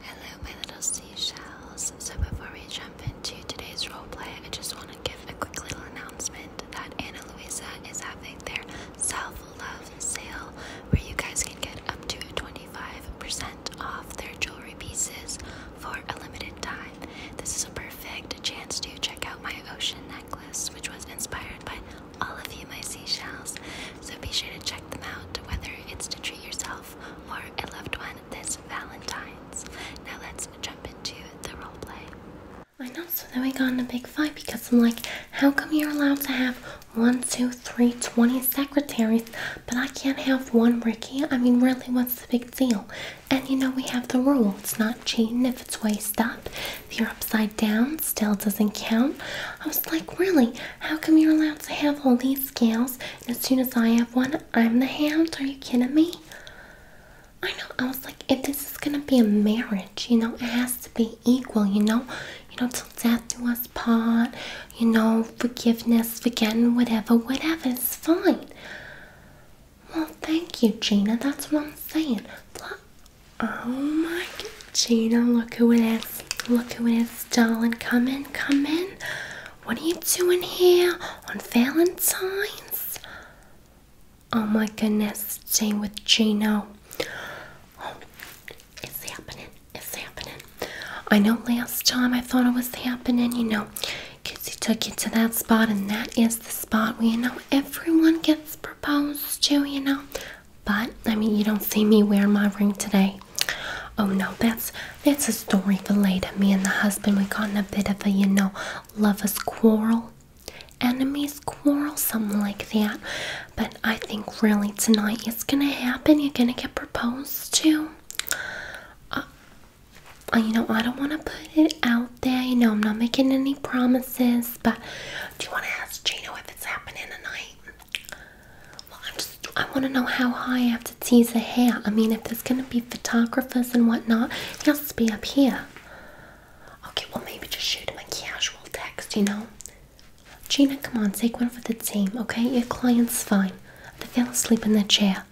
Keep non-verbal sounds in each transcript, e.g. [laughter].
Hello, my little seashells. So, before we jump into today's roleplay, I just want to give a quick little announcement that Anna Luisa is having their self love sale where you guys can get up to 25% off their jewelry pieces for a limited time. This is a perfect chance to check out my ocean necklace, which was inspired by all of you, my seashells. So, be sure to check them out, whether it's to treat yourself yourself a loved one this Valentine's. Now let's jump into the roleplay. I know, so then we got in a big fight because I'm like, how come you're allowed to have one, two, three, twenty secretaries, but I can't have one Ricky? I mean, really, what's the big deal? And you know, we have the rule it's not cheating if it's waist up. If you're upside down, still doesn't count. I was like, really, how come you're allowed to have all these scales as soon as I have one, I'm the hand. Are you kidding me? I know. I was like, if this is gonna be a marriage, you know, it has to be equal. You know, you know, till death do us part. You know, forgiveness, forgetting, whatever, whatever. is fine. Well, thank you, Gina. That's what I'm saying. Oh my God, Gina! Look who it is. Look who it is darling, come in, come in. What are you doing here on Valentine's? Oh my goodness, staying with Gino. Oh, it's happening, it's happening. I know last time I thought it was happening, you know, because he took you to that spot, and that is the spot where, you know, everyone gets proposed to, you know. But, I mean, you don't see me wear my ring today oh no that's that's a story for later me and the husband we got in a bit of a you know lovers quarrel enemies quarrel something like that but i think really tonight it's gonna happen you're gonna get proposed to uh, uh, you know i don't want to put it out there you know i'm not making any promises but do you want to ask gino if it's happening tonight well, I'm just, I want to know how high I have to tease the hair. I mean, if there's going to be photographers and whatnot, he has to be up here. Okay, well, maybe just shoot him a casual text, you know? Gina, come on, take one for the team, okay? Your client's fine. They fell asleep in their chair.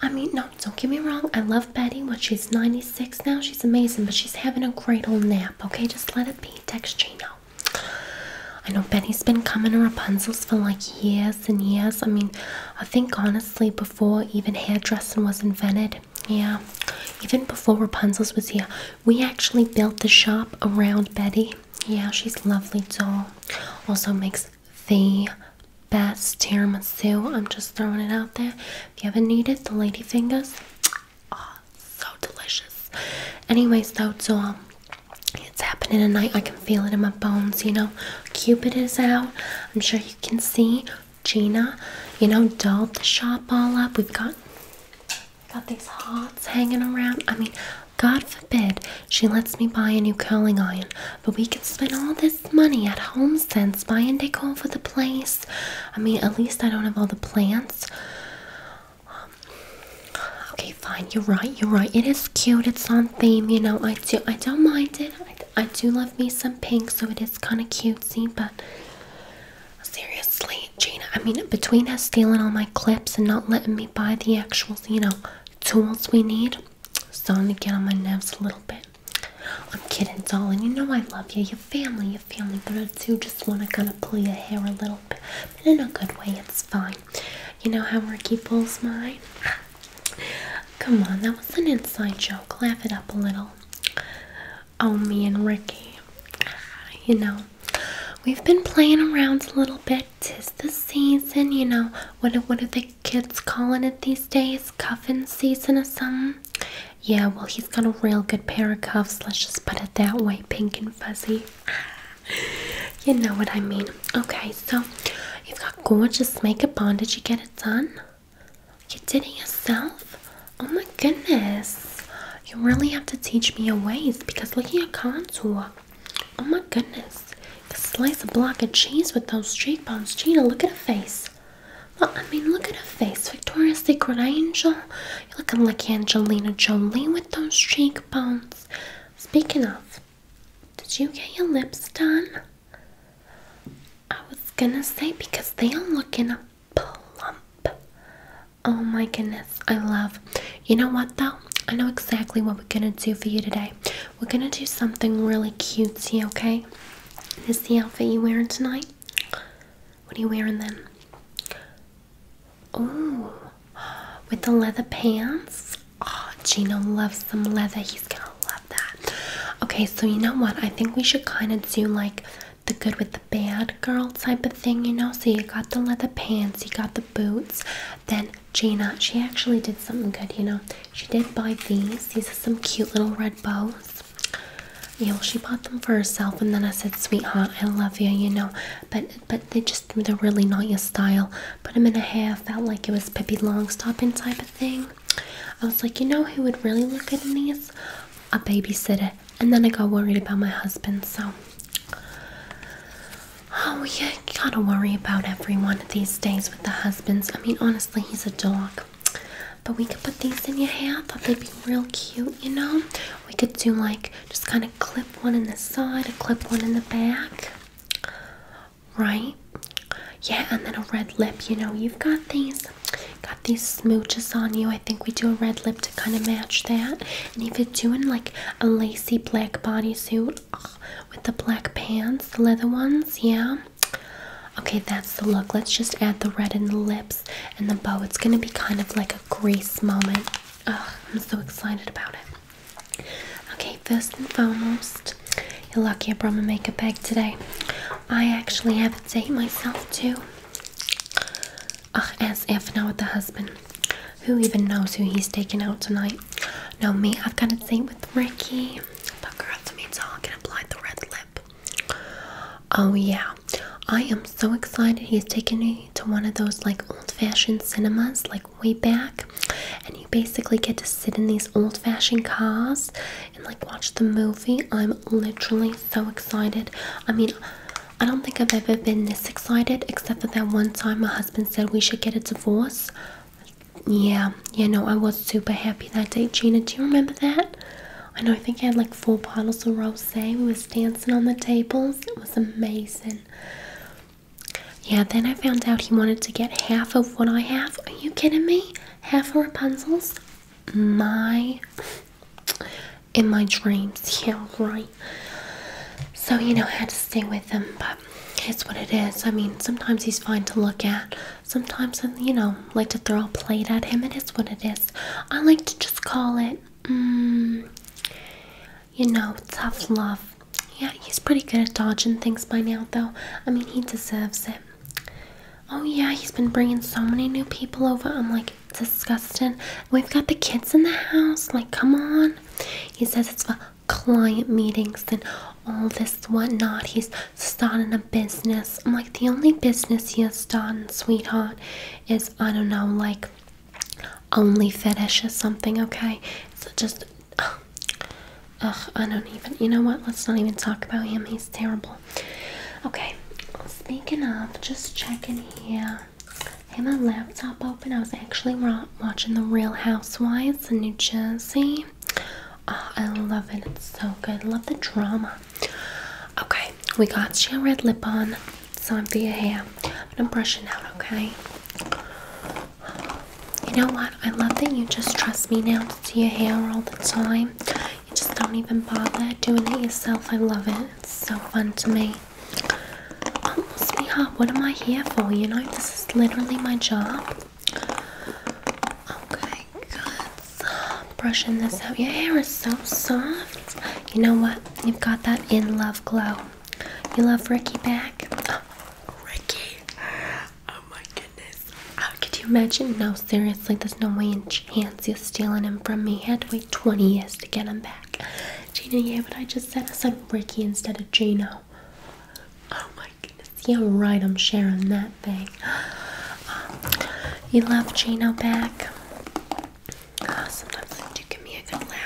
I mean, no, don't get me wrong. I love Betty. but she's 96 now? She's amazing, but she's having a great old nap, okay? Just let it be. Text Gina. I know betty has been coming to Rapunzel's for like years and years. I mean, I think honestly, before even hairdressing was invented, yeah, even before Rapunzel's was here, we actually built the shop around Betty. Yeah, she's lovely doll. Also makes the best tiramisu. I'm just throwing it out there. If you ever need it, the lady fingers. [tsk] Oh, so delicious. Anyways, though, so um, it's happening tonight. I can feel it in my bones, you know. Cupid is out. I'm sure you can see. Gina, you know, dolled the shop all up. We've got got these hearts hanging around. I mean, God forbid she lets me buy a new curling iron, but we can spend all this money at Home since buying and for the place. I mean, at least I don't have all the plants okay, fine. You're right. You're right. It is cute. It's on theme. You know, I do. I don't mind it. I, do love me some pink, so it is kind of cute. See, But seriously, Gina. I mean, between us stealing all my clips and not letting me buy the actual, you know, tools we need, it's starting to get on my nerves a little bit. I'm kidding, darling. You know I love you. Your family, your family. But I do just want to kind of pull your hair a little in a good way, it's fine. You know how Ricky pulls mine? [sighs] Come on, that was an inside joke. Laugh it up a little. Oh, me and Ricky. [sighs] You know, we've been playing around a little bit. Tis the season, you know. What, what are the kids calling it these days? Cuffin season or something? Yeah, well, he's got a real good pair of cuffs. Let's just put it that way, pink and fuzzy. [laughs] you know what I mean. Okay, so you've got gorgeous makeup on. Did you get it done? You did it yourself? Oh my goodness. You really have to teach me your ways because look at your contour. Oh my goodness. You slice a block of cheese with those cheekbones. Gina, look at her face. I mean, look at her face. Victoria's Secret Angel. you look like Angelina Jolie with those cheekbones. Speaking of, did you get your lips done? I was gonna say because they are looking a plump. Oh my goodness, I love. You know what though? I know exactly what we're gonna do for you today. We're gonna do something really cutesy, okay? Is the outfit you wearing tonight? What are you wearing then? Ooh, with the leather pants. Oh, Gino loves some leather. He's gonna love that. Okay, so you know what? I think we should kind of do like the good with the bad girl type of thing, you know? So you got the leather pants, you got the boots. Then Gina, she actually did something good, you know? She did buy these. These are some cute little red bows. You know, she bought them for herself, and then I said, sweetheart, I love you, you know? But, but but they just they're really not your style. Put them in a hair, felt like it was Long stopping type of thing. I was like, you know who would really look at in these? A babysitter. And then I got worried about my husband, so Oh you gotta worry about everyone these days with the husbands. I mean honestly he's a dog. But we could put these in your hair. I thought they'd be real cute, you know? We could do like just kind of clip one in the side, a clip one in the back. Right? Yeah, and then a red lip. You know, you've got these got these smooches on you. I think we do a red lip to kind of match that. And if you're doing like a lacy black bodysuit with the black pants, the leather ones, yeah. Okay, that's the look. Let's just add the red in the lips and the bow. It's gonna be kind of like a grace moment. Oh, I'm so excited about it. Okay, first and foremost, you're lucky I brought my makeup bag today. I actually have a date myself too. Ugh, as if not with the husband. Who even knows who he's taking out tonight? No, me, I've got a date with Ricky. But girl, to me, talking apply the red lip. Oh yeah, I am so excited. He's taking me to one of those like old fashioned cinemas, like way back, and you basically get to sit in these old fashioned cars and like watch the movie. I'm literally so excited. I mean, I don't think I've ever been this excited except for that one time my husband said we should get a divorce. Yeah, you know I was super happy that day. Gina, do you remember that? I know, I think I had like four bottles of rosé. We was dancing on the tables. It was amazing. Yeah, then I found out he wanted to get half of what I have. Are you kidding me? Half of Rapunzel's? My. In my dreams. Yeah, right. So, you know, I had to stay with him, but it's what it is. I mean, sometimes he's fine to look at. Sometimes I, you know, like to throw a plate at him. It is what it is. I like to just call it. Mm, you know, tough love. Yeah, he's pretty good at dodging things by now, though. I mean, he deserves it. Oh, yeah, he's been bringing so many new people over. I'm like, disgusting. We've got the kids in the house. Like, come on. He says it's for client meetings and all this whatnot. He's starting a business. I'm like, the only business he has starting, sweetheart, is, I don't know, like only fetish is something, okay? So just, ugh, I don't even, you know what? Let's not even talk about him. He's terrible. Okay, speaking of, just checking here. Had my laptop open. I was actually watching The Real Housewives in New Jersey. Ah, I love it. It's so good. Love the drama. Okay, we got you red lip on. So I'm doing your hair. But I'm brushing out, okay? You know what? I love that you just trust me now to do your hair all the time. You just don't even bother doing it yourself. I love it. It's so fun to me. Oh, sweetheart, what am I here for? You know, this is literally my job. Okay, good. brushing this out. Your hair is so soft. You know what? You've got that in love glow. You love Ricky back? [gasps] Ricky! Oh my goodness. Uh, could you imagine? No, seriously, there's no way in chance you're stealing him from me. I had to wait 20 years to get him back. Gina, yeah, but I just said I said Ricky instead of Gino. Oh my goodness. Yeah, right, I'm sharing that thing. [gasps] You love Gino back? Ah, sometimes they do give me a good laugh.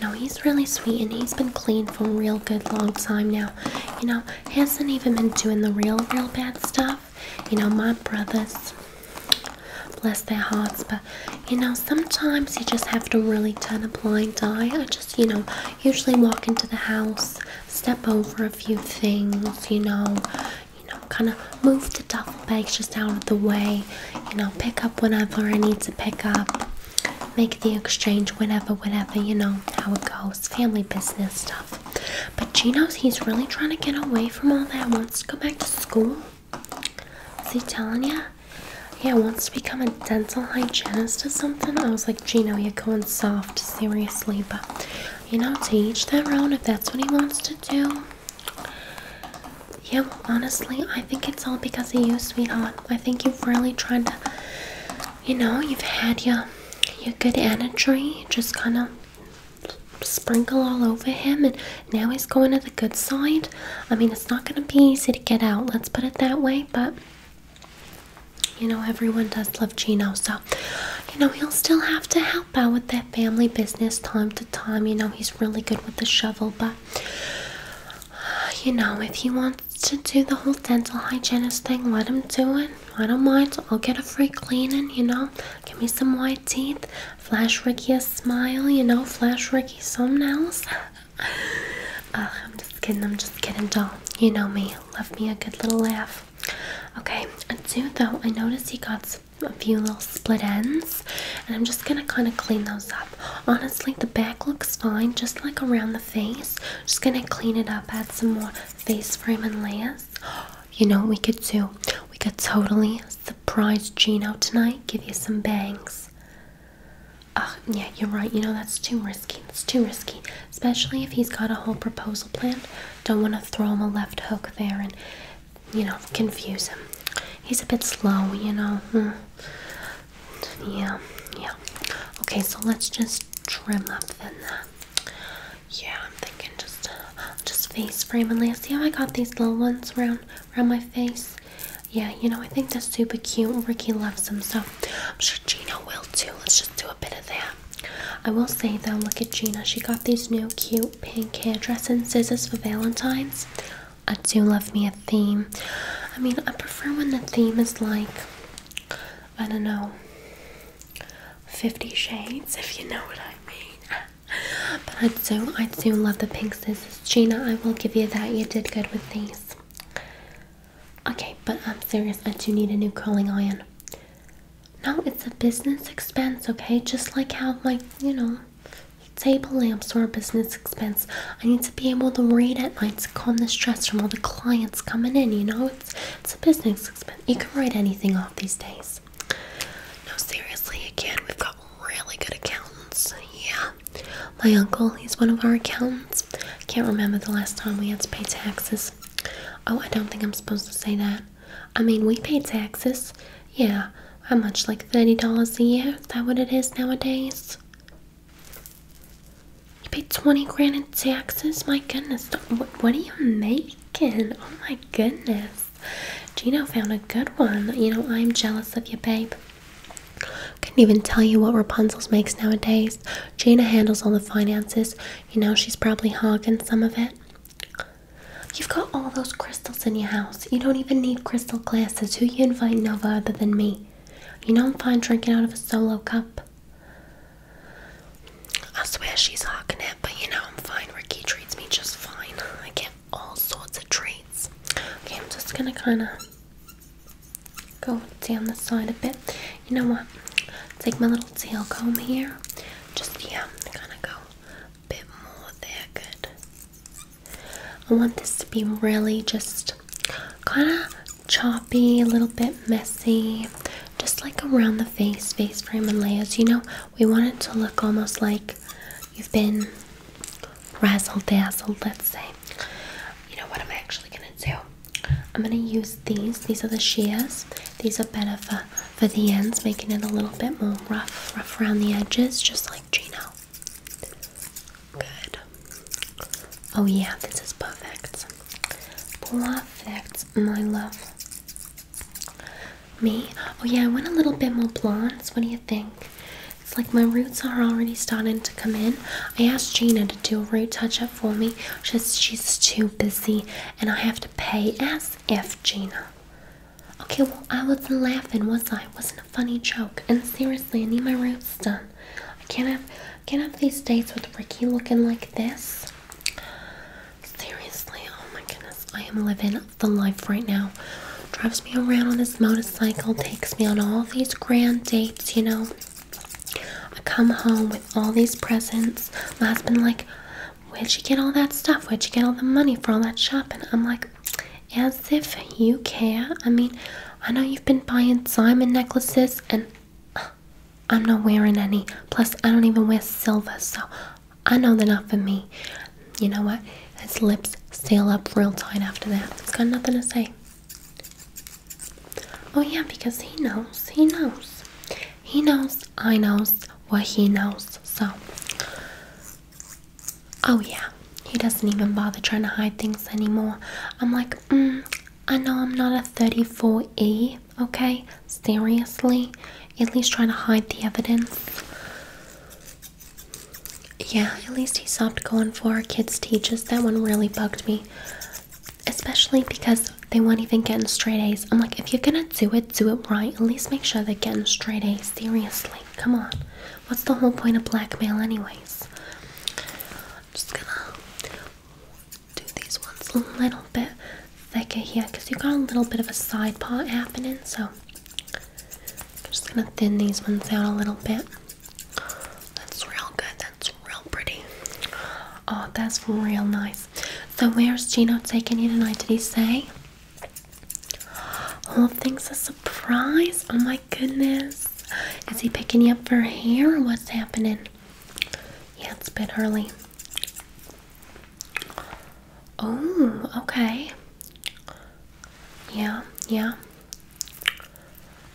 No, he's really sweet and he's been clean for a real good long time now. You know, hasn't even been doing the real, real bad stuff. You know, my brothers, bless their hearts, but you know, sometimes you just have to really turn a blind eye. I just, you know, usually walk into the house, step over a few things, you know, you know, kind of move the bag's just out of the way. You know, pick up whenever I need to pick up. Make the exchange whenever, whenever, you know how it goes. Family business stuff. But Gino's, he's really trying to get away from all that. Wants to go back to school. Is he telling you? Yeah, wants to become a dental hygienist or something. I was like, Gino, you're going soft, seriously. But, you know, teach each their if that's what he wants to do. Yeah, well, honestly, I think it's all because of you, sweetheart. I think you've really tried to, you know, you've had your your good energy just kind of sprinkle all over him, and now he's going to the good side. I mean, it's not going to be easy to get out. Let's put it that way, but. You know, everyone does love Gino, so you know, he'll still have to help out with that family business time to time. You know, he's really good with the shovel, but you know, if he wants to do the whole dental hygienist thing, let him do it. I don't mind. I'll get a free cleaning, you know. Give me some white teeth. Flash Ricky a smile, you know. Flash Ricky some nails. [laughs] Uh, I'm just kidding. I'm just kidding, doll. You know me. Love me a good little laugh. Okay, I do though. I noticed he got a few little split ends and I'm just gonna kind of clean those up. Honestly, the back looks fine, just like around the face. Just gonna clean it up, add some more face frame and layers. [gasps] You know what we could do? We could totally surprise Gino tonight, give you some bangs. Oh, yeah, you're right. You know, that's too risky. It's too risky. Especially if he's got a whole proposal planned. Don't want to throw him a left hook there and you know, confuse him. He's a bit slow, you know. Hmm. Yeah, yeah. Okay, so let's just trim up in Uh, yeah, I'm thinking just just face framing. and layer. See how I got these little ones around around my face? Yeah, you know, I think that's super cute. Ricky loves them, so I'm sure Gina will too. Let's just do a bit of that. I will say though, look at Gina. She got these new cute pink hairdressing scissors for Valentine's. I do love me a theme. I mean, I prefer when the theme is like, I don't know, 50 shades, if you know what I mean. [laughs] but I do, I do love the pink scissors. Gina, I will give you that. You did good with these. Okay, but I'm serious. I do need a new curling iron. No, it's a business expense, okay? Just like how, like, you know, Table lamps are a business expense. I need to be able to read at night to calm the stress from all the clients coming in. You know, it's it's a business expense. You can write anything off these days. No, seriously, again, We've got really good accountants. Yeah, my uncle, he's one of our accountants. can't remember the last time we had to pay taxes. Oh, I don't think I'm supposed to say that. I mean, we paid taxes. Yeah, how much? Like $30 a year? Is that what it is nowadays? You pay 20 grand in taxes? My goodness, what, are you making? Oh my goodness. Gina found a good one. You know, I'm jealous of you, babe. Couldn't even tell you what Rapunzel's makes nowadays. Gina handles all the finances. You know, she's probably hogging some of it. You've got all those crystals in your house. You don't even need crystal glasses. Who you invite Nova other than me? You know I'm fine drinking out of a solo cup. I swear she's hawking it, but you know I'm fine. Ricky treats me just fine. I get all sorts of treats. Okay, I'm just gonna kinda go down the side a bit. You know what? Take my little tail comb here. Just yeah, kinda go bit more there. Good. I want this to be really just kind of choppy, a little bit messy, just like around the face, face frame, and layers. You know, we want it to look almost like you've been razzle dazzled, let's say. You know what I'm actually gonna do? I'm gonna use these. These are the shears. These are better for for the ends, making it a little bit more rough, rough around the edges, just like Gino. Good. Oh, yeah, this is perfect. Perfect, my love. Me? Oh, yeah, I want a little bit more blondes. What do you think? It's like my roots are already starting to come in. I asked Gina to do a root touch up for me. She's, she's too busy, and I have to pay as if Gina. Okay, well, I wasn't laughing, was I? wasn't a funny joke. And seriously, I need my roots done. I can't have, can't have these dates with Ricky looking like this. Seriously, oh my goodness, I am living the life right now. Drives me around on his motorcycle, takes me on all these grand dates, you know. I come home with all these presents. My husband like, where'd you get all that stuff? Where'd you get all the money for all that shopping? I'm like, as if you care. I mean, I know you've been buying diamond necklaces, and uh, I'm not wearing any. Plus, I don't even wear silver, so I know they're not for me. You know what? His lips seal up real tight after that. It's got nothing to say. Oh, yeah, because he knows. He knows. He knows. I knows what he knows. So, Oh, yeah, he doesn't even bother trying to hide things anymore. I'm like, mm, I know I'm not a 34E, okay? Seriously? At least try to hide the evidence. Yeah, at least he stopped going for kids' teachers. That one really bugged me. Especially because they weren't even getting straight A's. I'm like, if you're gonna do it, do it right. At least make sure they're getting straight A's. Seriously, come on. What's the whole point of blackmail, anyways? I'm just gonna do these ones a little bit thicker here because you got a little bit of a side part happening, so I'm just gonna thin these ones out a little bit. That's real good. That's real pretty. Oh, that's real nice. So, where's Gino taking you tonight? Did he say? Oh, things a surprise. Oh my goodness. Is he picking you up for hair or what's happening? Yeah, it's a bit early. Oh, okay. Yeah, yeah.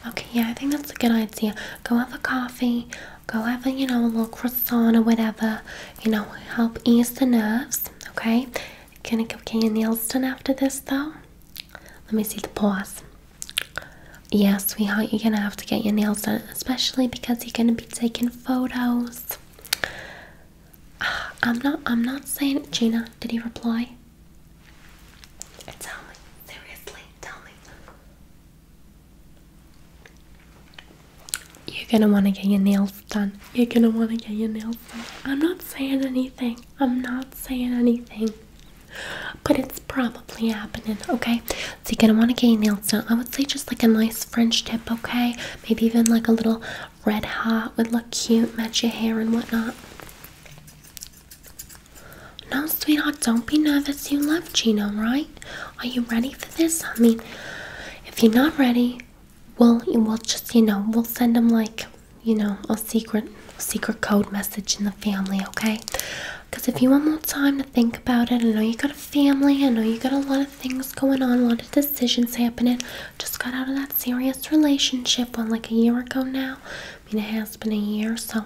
Okay, yeah, I think that's a good idea. Go have a coffee, go have a, you know, a little croissant or whatever, you know, help ease the nerves, okay? Can I go King Elston after this though? Let me see the pause. Yes, sweetheart, you're gonna have to get your nails done, especially because you're gonna be taking photos. Ah, I'm not I'm not saying Gina, did he reply? Uh, tell me. Seriously, tell me. You're gonna wanna get your nails done. You're gonna wanna get your nails done. I'm not saying anything. I'm not saying anything. But it's probably happening, okay? So you're gonna wanna get your nails done. I would say just like a nice French tip, okay? Maybe even like a little red hot would look cute, match your hair and whatnot. No, sweetheart, don't be nervous. You love Gino, right? Are you ready for this? I mean, if you're not ready, we'll, we'll just, you know, we'll send them like, you know, a secret, secret code message in the family, okay? Because if you want more time to think about it, I know you got a family, I know you got a lot of things going on, a lot of decisions happening. Just got out of that serious relationship one like a year ago now. I mean, it has been a year, so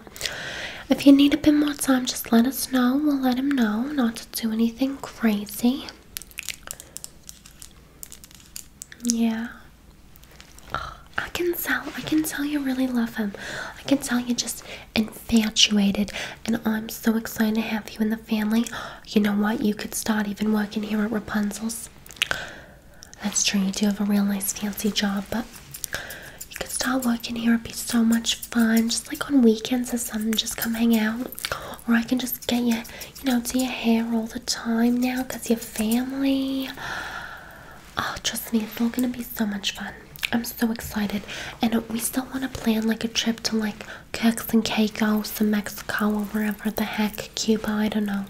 if you need a bit more time, just let us know. We'll let him know not to do anything crazy. Yeah. I can tell. I can tell you really love him. I can tell you're just infatuated, and I'm so excited to have you in the family. You know what? You could start even working here at Rapunzel's. That's true. You do have a real nice, fancy job, but you could start working here. It'd be so much fun. Just like on weekends or something, just come hang out or I can just get you, you know, do your hair all the time now because your family. Oh, trust me, it's all gonna be so much fun. I'm so excited, and we still want to plan like a trip to like Kirks and Caicos and Mexico or wherever the heck, Cuba, I don't know.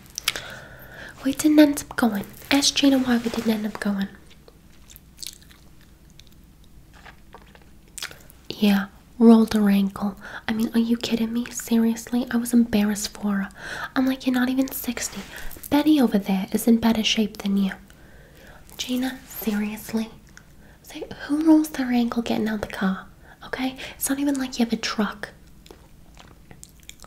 We didn't end up going. Ask Gina why we didn't end up going. Yeah, rolled her ankle. I mean, are you kidding me? Seriously? I was embarrassed for her. I'm like, you're not even 60. Betty over there is in better shape than you. Gina, seriously? Say, who rolls their ankle getting out the car? Okay? It's not even like you have a truck.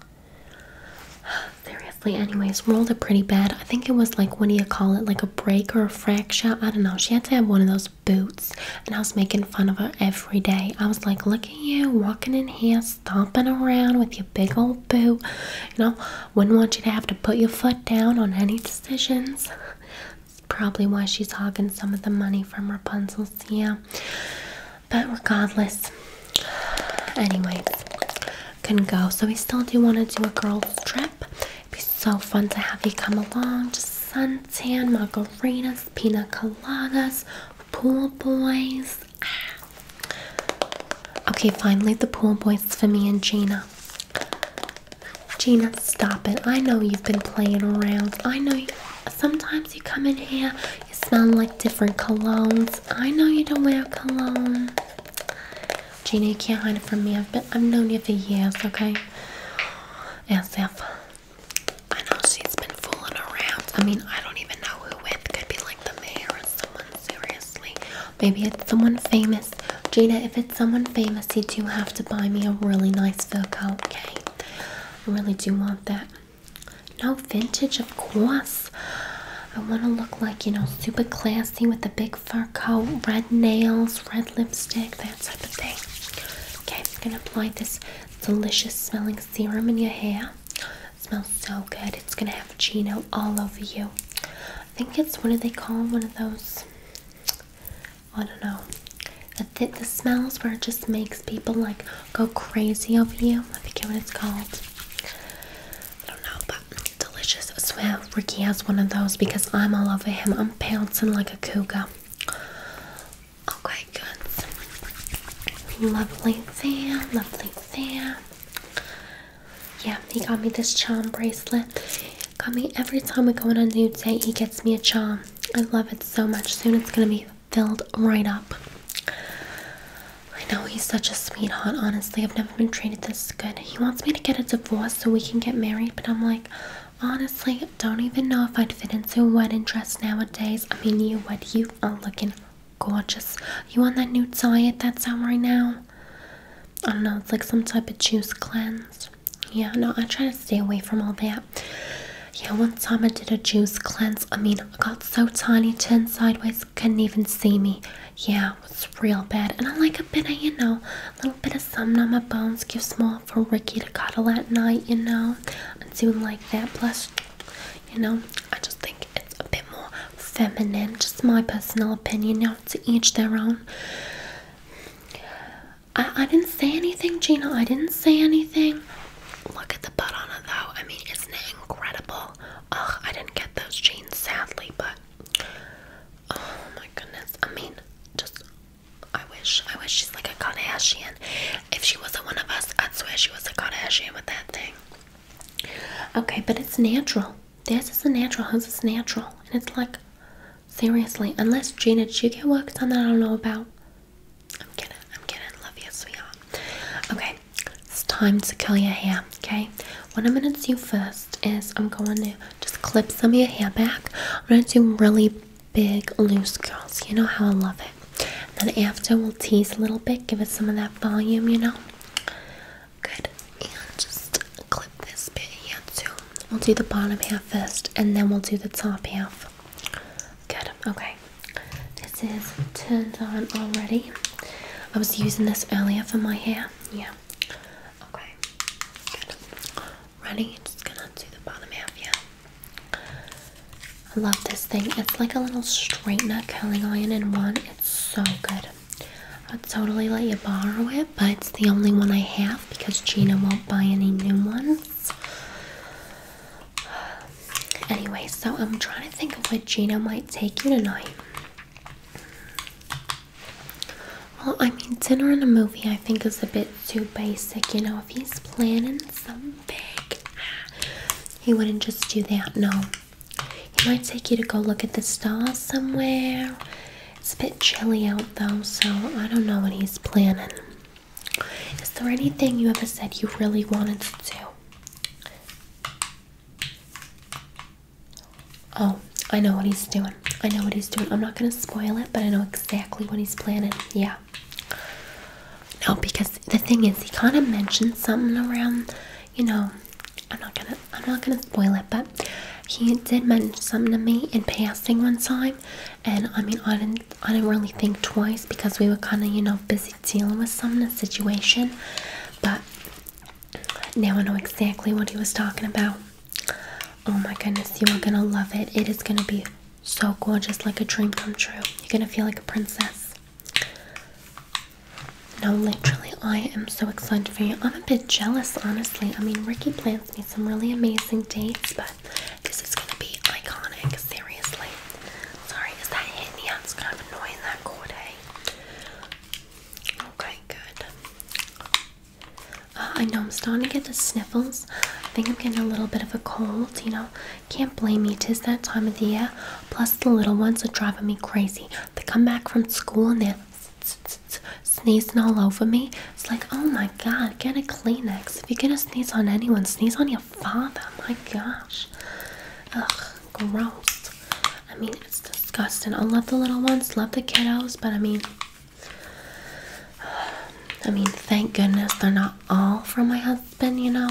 [sighs] Seriously, anyways, rolled it pretty bad. I think it was like, what do you call it? Like a break or a fracture? I don't know. She had to have one of those boots and I was making fun of her every day. I was like, Look at you walking in here, stomping around with your big old boot. You know, wouldn't want you to have to put your foot down on any decisions. That's probably why she's hogging some of the money from Rapunzel's, yeah. But regardless, anyways, couldn't go. So we still do want to do a girls' trip. It'd be so fun to have you come along. Just suntan, margaritas, pina coladas, pool boys. Ah. Okay, finally the pool boys for me and Gina. Gina, stop it. I know you've been playing around. I know sometimes you come in here, you smell like different colognes. I know you don't wear cologne. Gina, you can't hide it from me. I've, been, I've known you for years, okay? As if. I know she's been fooling around. I mean, I don't even know who with. Could be like the mayor or someone, seriously. Maybe it's someone famous. Gina, if it's someone famous, you do have to buy me a really nice fur coat, okay? I really do want that. No, vintage, of course. I want to look like, you know, super classy with a big fur coat, red nails, red lipstick, that type of thing. Okay, I'm going to apply this delicious smelling serum in your hair. smells so good. It's gonna have Gino all over you. I think it's what do they call one of those? I don't know. The, th the smells where it just makes people like go crazy over you. I forget what it's called. I don't know, but delicious. I swear Ricky has one of those because I'm all over him. I'm pouncing like a cougar. Okay, good. Lovely Sam, lovely Sam. Yeah, he got me this charm bracelet. Got me every time we go on a new date, he gets me a charm. I love it so much. Soon it's gonna be filled right up. I know he's such a sweetheart, honestly. I've never been treated this good. He wants me to get a divorce so we can get married, but I'm like, Honestly, don't even know if I'd fit into a wedding dress nowadays. I mean, you, what you are looking gorgeous. You on that new diet that's out right now? I don't know, it's like some type of juice cleanse. Yeah, no, I try to stay away from all that. Yeah, one time I did a juice cleanse. I mean, I got so tiny, turned sideways, couldn't even see me. Yeah, it was real bad. And I like a bit of, you know, a little bit of something on my bones. Give small for Ricky to cuddle at night, you know. Seem like that Plus, you know i just think it's a bit more feminine just my personal opinion you know to each their own i, I didn't say anything gina i didn't say anything look at the butt on it though i mean isn't it incredible ugh i didn't get those jeans sadly but oh my goodness i mean just I wish, I wish she's like a Kardashian. If she wasn't one of us, I'd swear she was a Kardashian with that thing. Okay, but it's natural. This is a natural, This is natural. And it's like, seriously, unless Gina, did you get work done that I don't know about? I'm kidding, I'm kidding. Love you, sweetheart. Okay, it's time to curl your hair, okay? What I'm gonna do first is I'm going to just clip some of your hair back. I'm gonna do really big loose curls. You know how I love it. then after we'll tease a little bit, give it some of that volume, you know. Good. And just clip this bit here too. We'll do the bottom half first and then we'll do the top half. Good. Okay. This is turned on already. I was using this earlier for my hair. Yeah. Okay. Good running It's gonna undo the bottom half, yeah. I love this thing. It's like a little straightener curling iron in one. It's so good. I'd totally let you borrow it, but it's the only one I have because Gina won't buy any new ones. Anyway, so I'm trying to think of what Gina might take you tonight. Well, I mean, dinner and a movie I think is a bit too basic, you know. If he's planning something big, he wouldn't just do that, no. He might take you to go look at the stars somewhere. It's a bit chilly out though, so I don't know what he's planning. Is there anything you ever said you really wanted to do? Oh, I know what he's doing. I know what he's doing. I'm not gonna spoil it, but I know exactly what he's planning. Yeah. No, because the thing is, he kind of mentioned something around, you know. I'm not gonna, I'm not gonna spoil it, but he did mention something to me in passing one time, and I mean, I didn't, I didn't really think twice because we were kind of, you know, busy dealing with some situation, but now I know exactly what he was talking about. Oh my goodness, you are gonna love it. It is gonna be so gorgeous, like a dream come true. You're gonna feel like a princess. No, literally, I am so excited for you. I'm a bit jealous, honestly. I mean, Ricky plants me some really amazing dates, but this is gonna be iconic, seriously. Sorry, is that hitting the It's kind of annoying that cord, Okay, good. Uh, I know I'm starting to get the sniffles. I think I'm getting a little bit of a cold, you know. Can't blame me, tis that time of the year. Plus, the little ones are driving me crazy. They come back from school and they're sneezing all over me. It's like, oh my god, get a Kleenex. If you're gonna sneeze on anyone, sneeze on your father. My gosh. Ugh, gross. I mean, it's disgusting. I love the little ones, love the kiddos, but I mean, I mean, thank goodness they're not all from my husband, you know.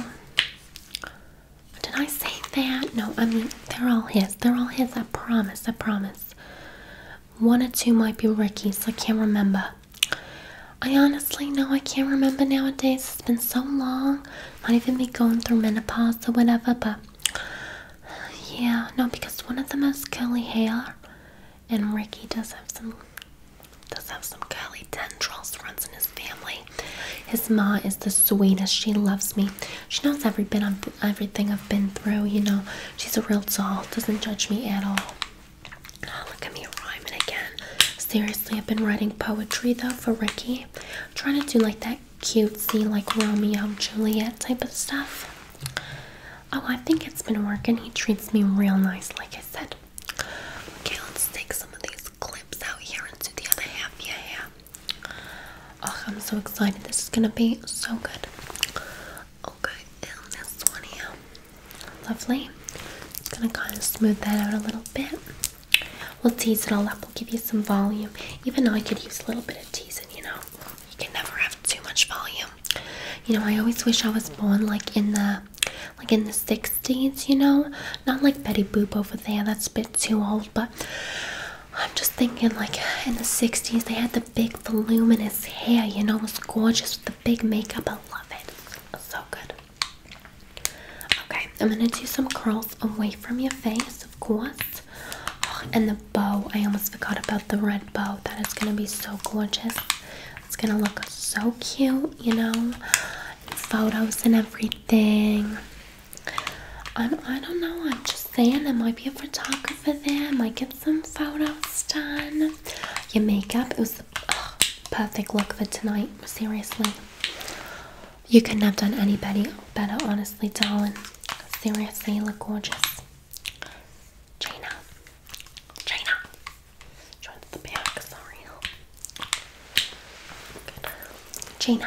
Did I say that? No, I mean, they're all his. They're all his, I promise, I promise. One or two might be Ricky's, I can't remember. I honestly know I can't remember nowadays. It's been so long. Might even be going through menopause or whatever, but yeah, no, because one of them has curly hair and Ricky does have some does have some curly tendrils runs in his family. His ma is the sweetest. She loves me. She knows every bit of everything I've been through. You know, she's a real soul. Doesn't judge me at all. Ah, look at me rhyming again. Seriously, I've been writing poetry though for Ricky. trying to do like that cutesy, like Romeo Juliet type of stuff. Oh, I think it's been working. He treats me real nice, like I said. Okay, let's take some of these clips out here into the other half. Yeah, I'm so excited. This is gonna be so good. Okay, this one here. Lovely. Just gonna kind of smooth that out a little bit. We'll tease it all up. We'll give you some volume. Even though I could use a little bit of teasing, you know. You can never have too much volume you. know, I always wish I was born like in the like in the 60s, you know? Not like Betty Boop over there, that's a bit too old, but I'm just thinking like in the 60s they had the big voluminous hair, you know, was gorgeous with the big makeup. I love it. So good. Okay, I'm gonna do some curls away from your face, of course. Oh, and the bow, I almost forgot about the red bow. That is gonna be so gorgeous. It's gonna look so cute, you know, photos and everything. I'm, I do not know, I'm just saying I might be a photographer there. I might get some photos done. Your makeup, it was perfect look for tonight, seriously. You couldn't have done any better, honestly, darling. Seriously, you look gorgeous. Trina. Trina. Joins the back, sorry. Good.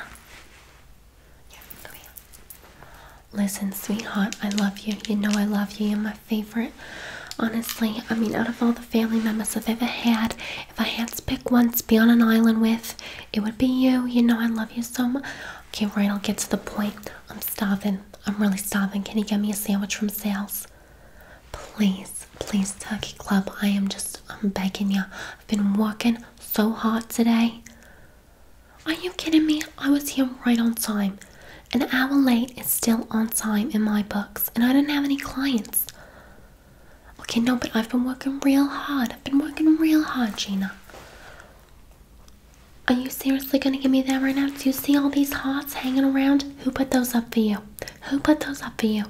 Yeah, come here. Listen, sweetheart, I love you. You know I love you. You're my favorite. Honestly, I mean, out of all the family members I've ever had, if I had to pick one to be on an island with, it would be you. You know I love you so much. Okay, right, I'll get to the point. I'm starving. I'm really starving. Can you get me a sandwich from sales? Please, please, Turkey Club, I am just, I'm begging you. I've been working so hard today. Are you kidding me? I was here right on time. An hour late is still on time in my books, and I didn't have any clients. Okay, no, but I've been working real hard. I've been working real hard, Gina. Are you seriously gonna give me that right now? Do you see all these hearts hanging around? Who put those up for you? Who put those up for you?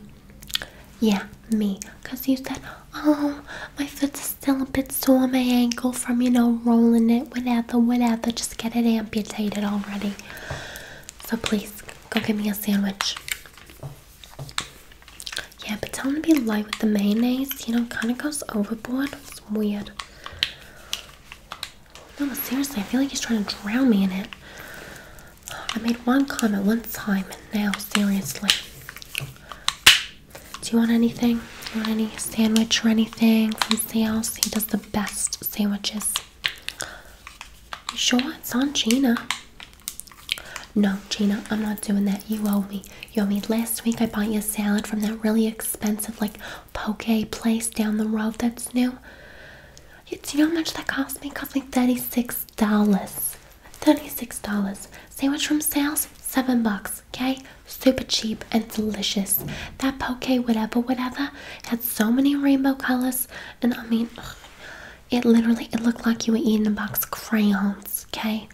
Yeah, me. Because you said, oh, my foot's still a bit sore, my ankle from, you know, rolling it, whatever, whatever. Just get it amputated already. So please, go get me a sandwich. Yeah, but tell him to be light with the mayonnaise. You know, kind of goes overboard. It's weird. No, seriously, I feel like he's trying to drown me in it. I made one comment one time, and now, seriously. Do you want anything? Do you want any sandwich or anything from Sales? He does the best sandwiches. You sure? It's on Gina. No, Gina, I'm not doing that. You owe me. You owe me. Last week I bought you a salad from that really expensive, like poke place down the road that's new. Do you know how much that cost me? It cost me $36. $36. Sandwich from sales, seven bucks. Okay? Super cheap and delicious. That poke, whatever, whatever, had so many rainbow colors. And I mean, it literally, it looked like you were eating a box of crayons. Okay?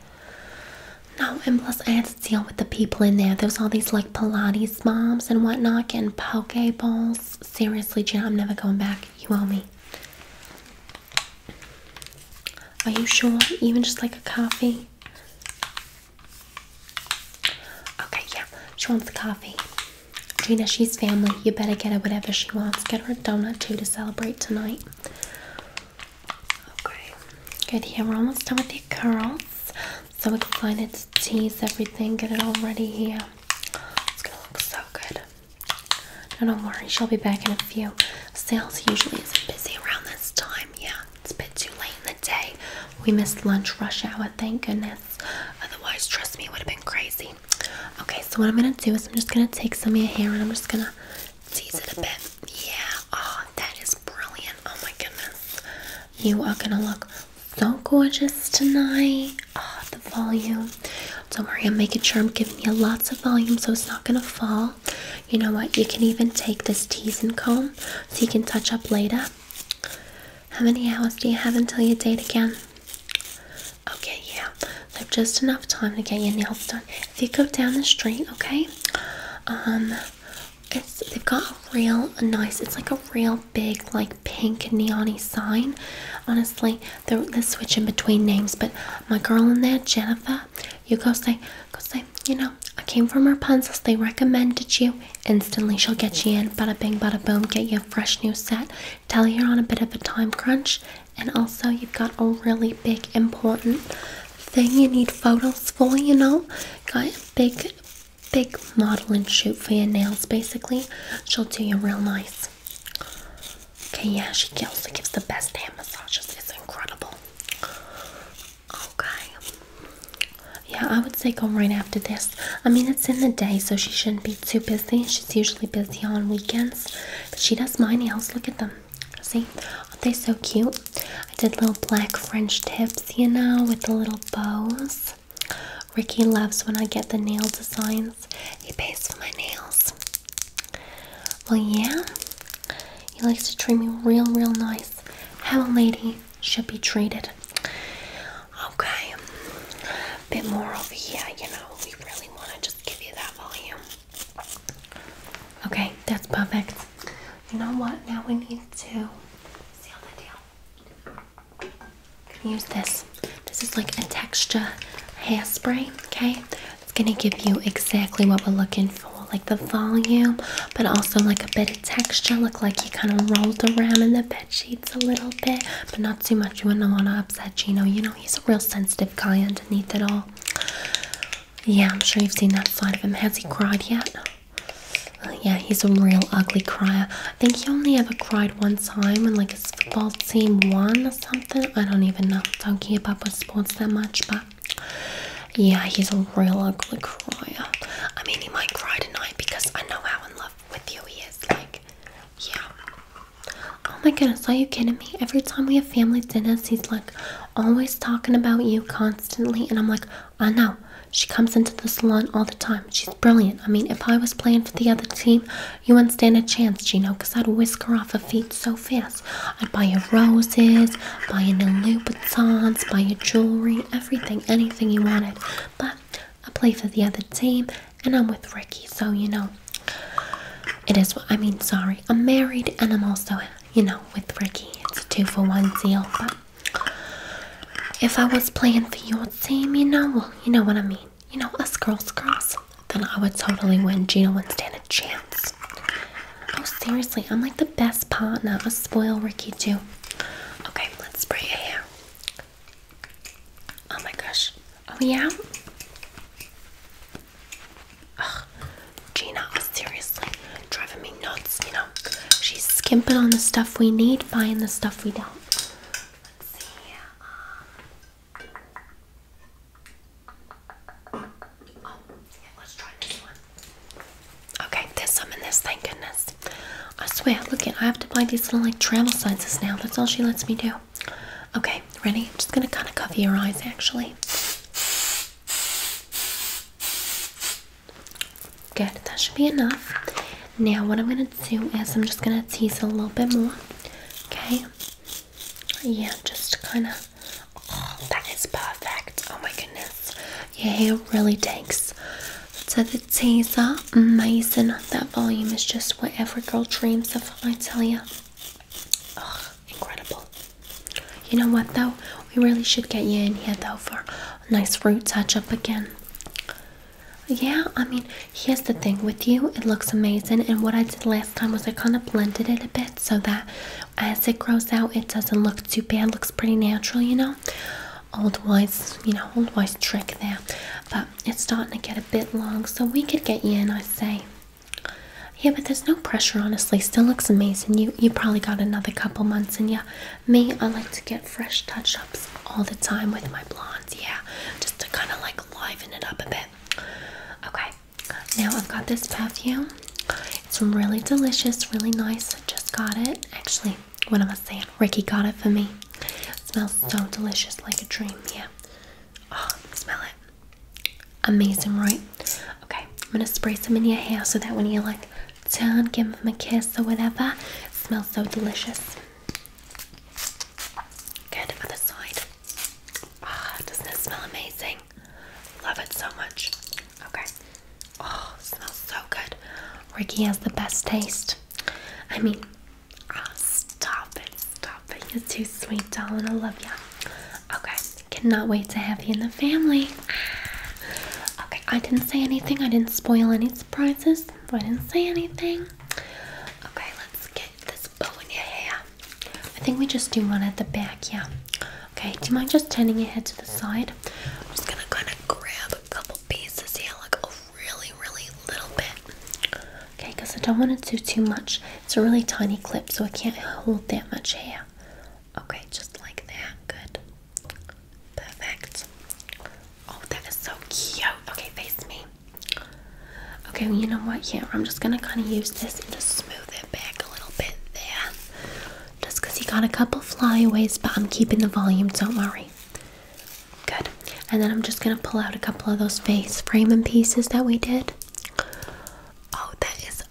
No, and plus I had to deal with the people in there. There was all these like Pilates moms and whatnot getting poke bowls. Seriously, Jen, I'm never going back. You owe me. Are you sure? Even just like a coffee? Okay, yeah. She wants coffee. Gina, she's family. You better get her whatever she wants. Get her a donut too to celebrate tonight. Okay. Good, here yeah, we're almost done with the curls. So excited tease everything, get it all ready here. It's gonna look so good. No, don't worry, she'll be back in a few. Sales usually is busy around this time. Yeah, it's a bit too late in the day. We missed lunch rush hour, thank goodness. Otherwise, trust me, it would have been crazy. Okay, so what I'm gonna do is I'm just gonna take some of your hair and I'm just gonna tease it a bit. Yeah, oh, that is brilliant. Oh my goodness. You are gonna look so gorgeous tonight. Oh, the volume. Don't worry, I'm making sure I'm giving you lots of volume so it's not gonna fall. You know what? You can even take this teasing comb so you can touch up later. How many hours do you have until your date again? Okay, yeah. have just enough time to get your nails done. If you go down the street, okay? Um they've got a real nice. It's like a real big like pink neony sign. Honestly, they're, switching between names, but my girl in there, Jennifer, you go say, go say. You know, I came from Rapunzel's. They recommended you. Instantly, she'll get you in. Bada bing, bada boom. Get you a fresh new set. Tell you're on a bit of a time crunch, and also you've got a really big important thing you need photos for. You know, got a big big model and shoot for your nails basically. She'll do you real nice. Okay, yeah, she also gives the best hand massages. It's incredible. Okay. Yeah, I would say go right after this. I mean, it's in the day, so she shouldn't be too busy. She's usually busy on weekends. she does my nails. Look at them. See? Aren't they so cute? I did little black French tips, you know, with the little bows. Ricky loves when I get the nail designs. He pays for my nails. Well, yeah, he likes to treat me real, real nice. How a lady should be treated. Okay, a bit more over here, you know. We really want to just give you that volume. Okay, that's perfect. You know what? Now we need to seal the deal use this. This is like a texture hairspray. Okay, it's gonna give you exactly what we're looking for, like the volume, but also like a bit of texture. Look like you kind of rolled around in the bed sheets a little bit, but not too much. You wouldn't want to upset Gino. You know he's a real sensitive guy underneath it all. Yeah, I'm sure you've seen that side of him. Has he cried yet? yeah, he's a real ugly crier. I think he only ever cried one time when like his football team won or something. I don't even know. Don't care about sports that much, but yeah, he's a real ugly crier. I mean, he might cry tonight because I know how in love with you he is. Like, yeah. Oh my goodness, are you kidding me? Every time we have family dinners, he's like always talking about you constantly, and I'm like, I know. She comes into the salon all the time. She's brilliant. I mean, if I was playing for the other team, you wouldn't stand a chance, Gino, because I'd whisk her off her feet so fast. I'd buy her roses, buy her new Louboutins, buy her jewelry, everything, anything you wanted. But I play for the other team, and I'm with Ricky, so, you know, it is what I mean, sorry. I'm married, and I'm also, you know, with Ricky. It's a two-for-one deal, but if I was playing for your team, you know, you know what I mean. You know, us girls, girls, then I would totally win. Gina wouldn't stand a chance. Oh, seriously, I'm like the best partner. I spoil Ricky, too. Okay, let's spray your hair. Oh my gosh. Oh, yeah? Ugh, Gina, oh, seriously, driving me nuts, you know? she's skimping on the stuff we need, buying the stuff we don't. Let's see. Uh, oh, yeah, let's try this one. Okay, there's some in this, thank goodness. I swear, look it, I have to buy these little like travel sizes now. That's all she lets me do. Okay, ready? I'm just gonna kind of cover your eyes actually. Good, that should be enough. Now, what I'm gonna do is I'm just gonna tease a little bit more. Okay. Yeah, just kind of. Oh, that is perfect. Oh my goodness, your hair really takes to the teaser. Amazing. That volume is just what every girl dreams of. I tell you. Oh, incredible. You know what though? We really should get you in here though for nice root touch up again. Yeah, I mean, here's the thing with you, it looks amazing. And what I did last time was I kind of blended it a bit so that as it grows out, it doesn't look too bad, looks pretty natural, you know. Old wise, you know, old wise trick there, but it's starting to get a bit long, so we could get you in, I say. Yeah, but there's no pressure, honestly. Still looks amazing. You you probably got another couple months in you me, I like to get fresh touch ups all the time with my blondes, yeah, just to kind of like liven it up a bit. Okay, now I've got this perfume. It's really delicious, really nice. just got it. Actually, what am I saying? Ricky got it for me. smells so delicious, like a dream, yeah. Oh, smell it. Amazing, right? Okay, I'm gonna spray some in your hair so that when you're like turn, give him a kiss or whatever. smells so delicious. Good, other side. Ah, doesn't it smell amazing? Love it so much. Okay. Oh, smells so good. Ricky has the best taste. I mean, oh, stop it, stop it. You're too sweet, darling. I love you. Okay, cannot wait to have you in the family. [sighs] Okay, I didn't say anything. I didn't spoil any surprises. I didn't say anything. Okay, let's get this bow in your hair. I think we just do one at the back, yeah. Okay, do you mind just turning your head to the side? I'm just gonna kind of grab a couple pieces here, like a really, really little bit. Okay, because I don't want to do too much. It's a really tiny clip, so I can't hold that much hair. Okay, just like that. Good. Perfect. Oh, that is so cute. Okay, face me. Okay, you know what? Here, I'm just gonna kind of use this and just smooth it back a little bit there. Just because you got a couple flyaways, but I'm keeping the volume, don't worry. Good. And then I'm just gonna pull out a couple of those face framing pieces that we did. Oh, that is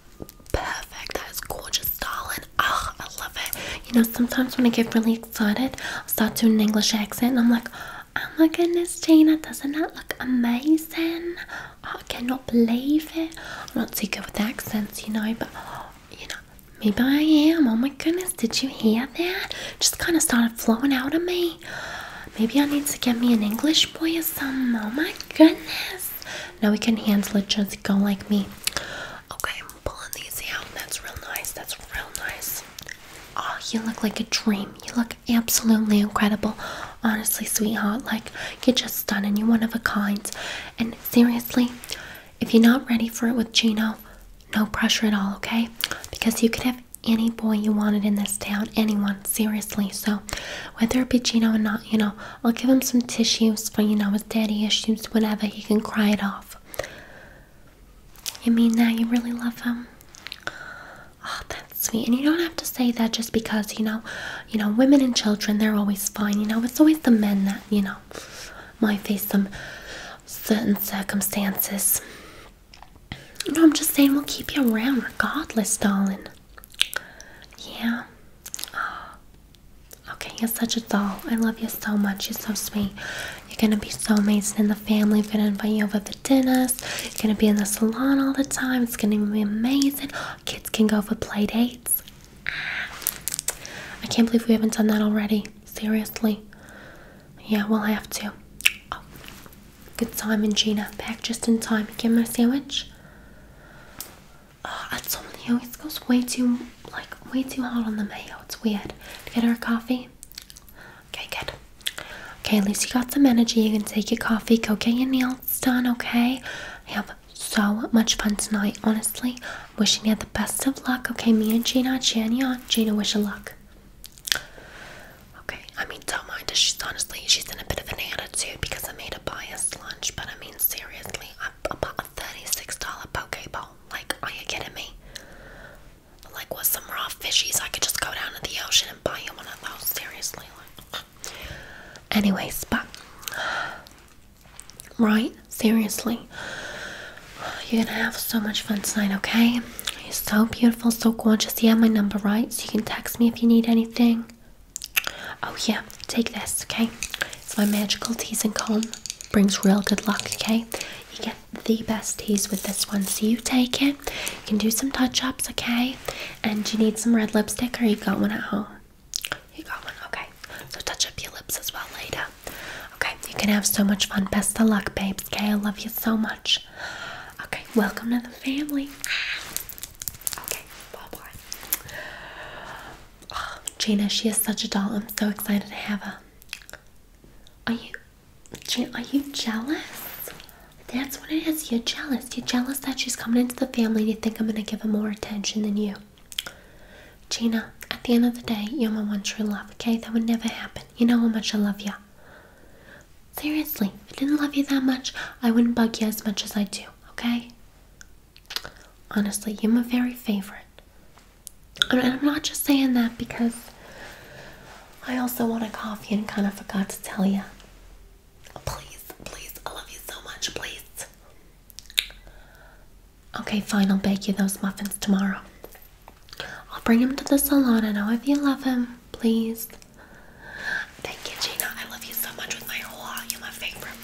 perfect. That is gorgeous. Stalin. Oh, I love it. You know, sometimes when I get really excited, i start doing an English accent I'm like, oh my goodness, Gina, doesn't that look amazing? Oh, I cannot believe it. I'm not too good with accents, you know, but you know, maybe I am. Oh my goodness, did you hear that? Just kind of started flowing out of me. Maybe I need to get me an English boy or something. Oh my goodness. Now we can handle it, just go like me. Okay, I'm pulling these out. That's real nice. That's real nice. Oh, you look like a dream. You look absolutely incredible. Honestly, sweetheart, like you're just stunning. You're one of a kind. And seriously, if you're not ready for it with Gino, no pressure at all, okay? Because you could have any boy you wanted in this town, anyone, seriously. So, whether it be Gino or not, you know, I'll give him some tissues for, you know, his daddy issues, whenever He can cry it off. You mean that you really love him? Oh, that's sweet. And you don't have to say that just because, you know, you know, women and children, they're always fine. You know, it's always the men that, you know, might face some certain circumstances. No, I'm just saying we'll keep you around regardless, darling. Yeah. Okay, you're such a doll. I love you so much. You're so sweet. You're gonna be so amazing in the family. We're gonna invite you over the dinners. You're gonna be in the salon all the time. It's gonna be amazing. Kids can go for play dates. Ah. I can't believe we haven't done that already. Seriously. Yeah, we'll have to. Oh. Good timing, Gina. Back just in time. Give him a sandwich. Oh, that's something. always goes way too like way too hot on the mayo. It's weird. Get her a coffee. Okay, good. Okay, at least you got some energy. You can take your coffee, go get your nails done, okay? I have so much fun tonight, honestly. Wishing you had the best of luck, okay? Me and Gina, Jania, Gina, wish her luck. Okay, I mean, don't mind her. She's honestly, she's in a bit of an attitude because I made a biased lunch, but I mean, seriously, I am about a $36 poke bowl. Like, are you kidding me? Like, with some raw fishies, I could just go down to the ocean and buy you one of those. Seriously, like. Anyways, but right, seriously, you're gonna have so much fun tonight. Okay, you're so beautiful, so gorgeous. You have my number, right? So you can text me if you need anything. Oh yeah, take this. Okay, it's my magical teasing comb brings real good luck, okay? You get the best teas with this one, so you take it. You can do some touch ups, okay? And you need some red lipstick or you got one at home? You got one, okay. So touch up your lips as well later. Okay, you can have so much fun. Best of luck, babes, okay? I love you so much. Okay, welcome to the family. Ah. Okay, bye bye. Oh, Gina, she is such a doll. I'm so excited to have her. Are you, Gina, are you jealous? That's what it is. You're jealous. You're jealous that she's coming into the family. You think I'm going to give her more attention than you. Gina, at the end of the day, you're my one true love, okay? That would never happen. You know how much I love you. Seriously, if I didn't love you that much, I wouldn't bug you as much as I do, okay? Honestly, you're my very favorite. And I'm not just saying that because I also want a coffee and kind of forgot to tell you. Please, please, I love you so much, please. Okay, fine, I'll bake you those muffins tomorrow. I'll bring them to the salon. I know if you love him, please. Thank you, Gina. I love you so much with my whole heart. You're my favorite.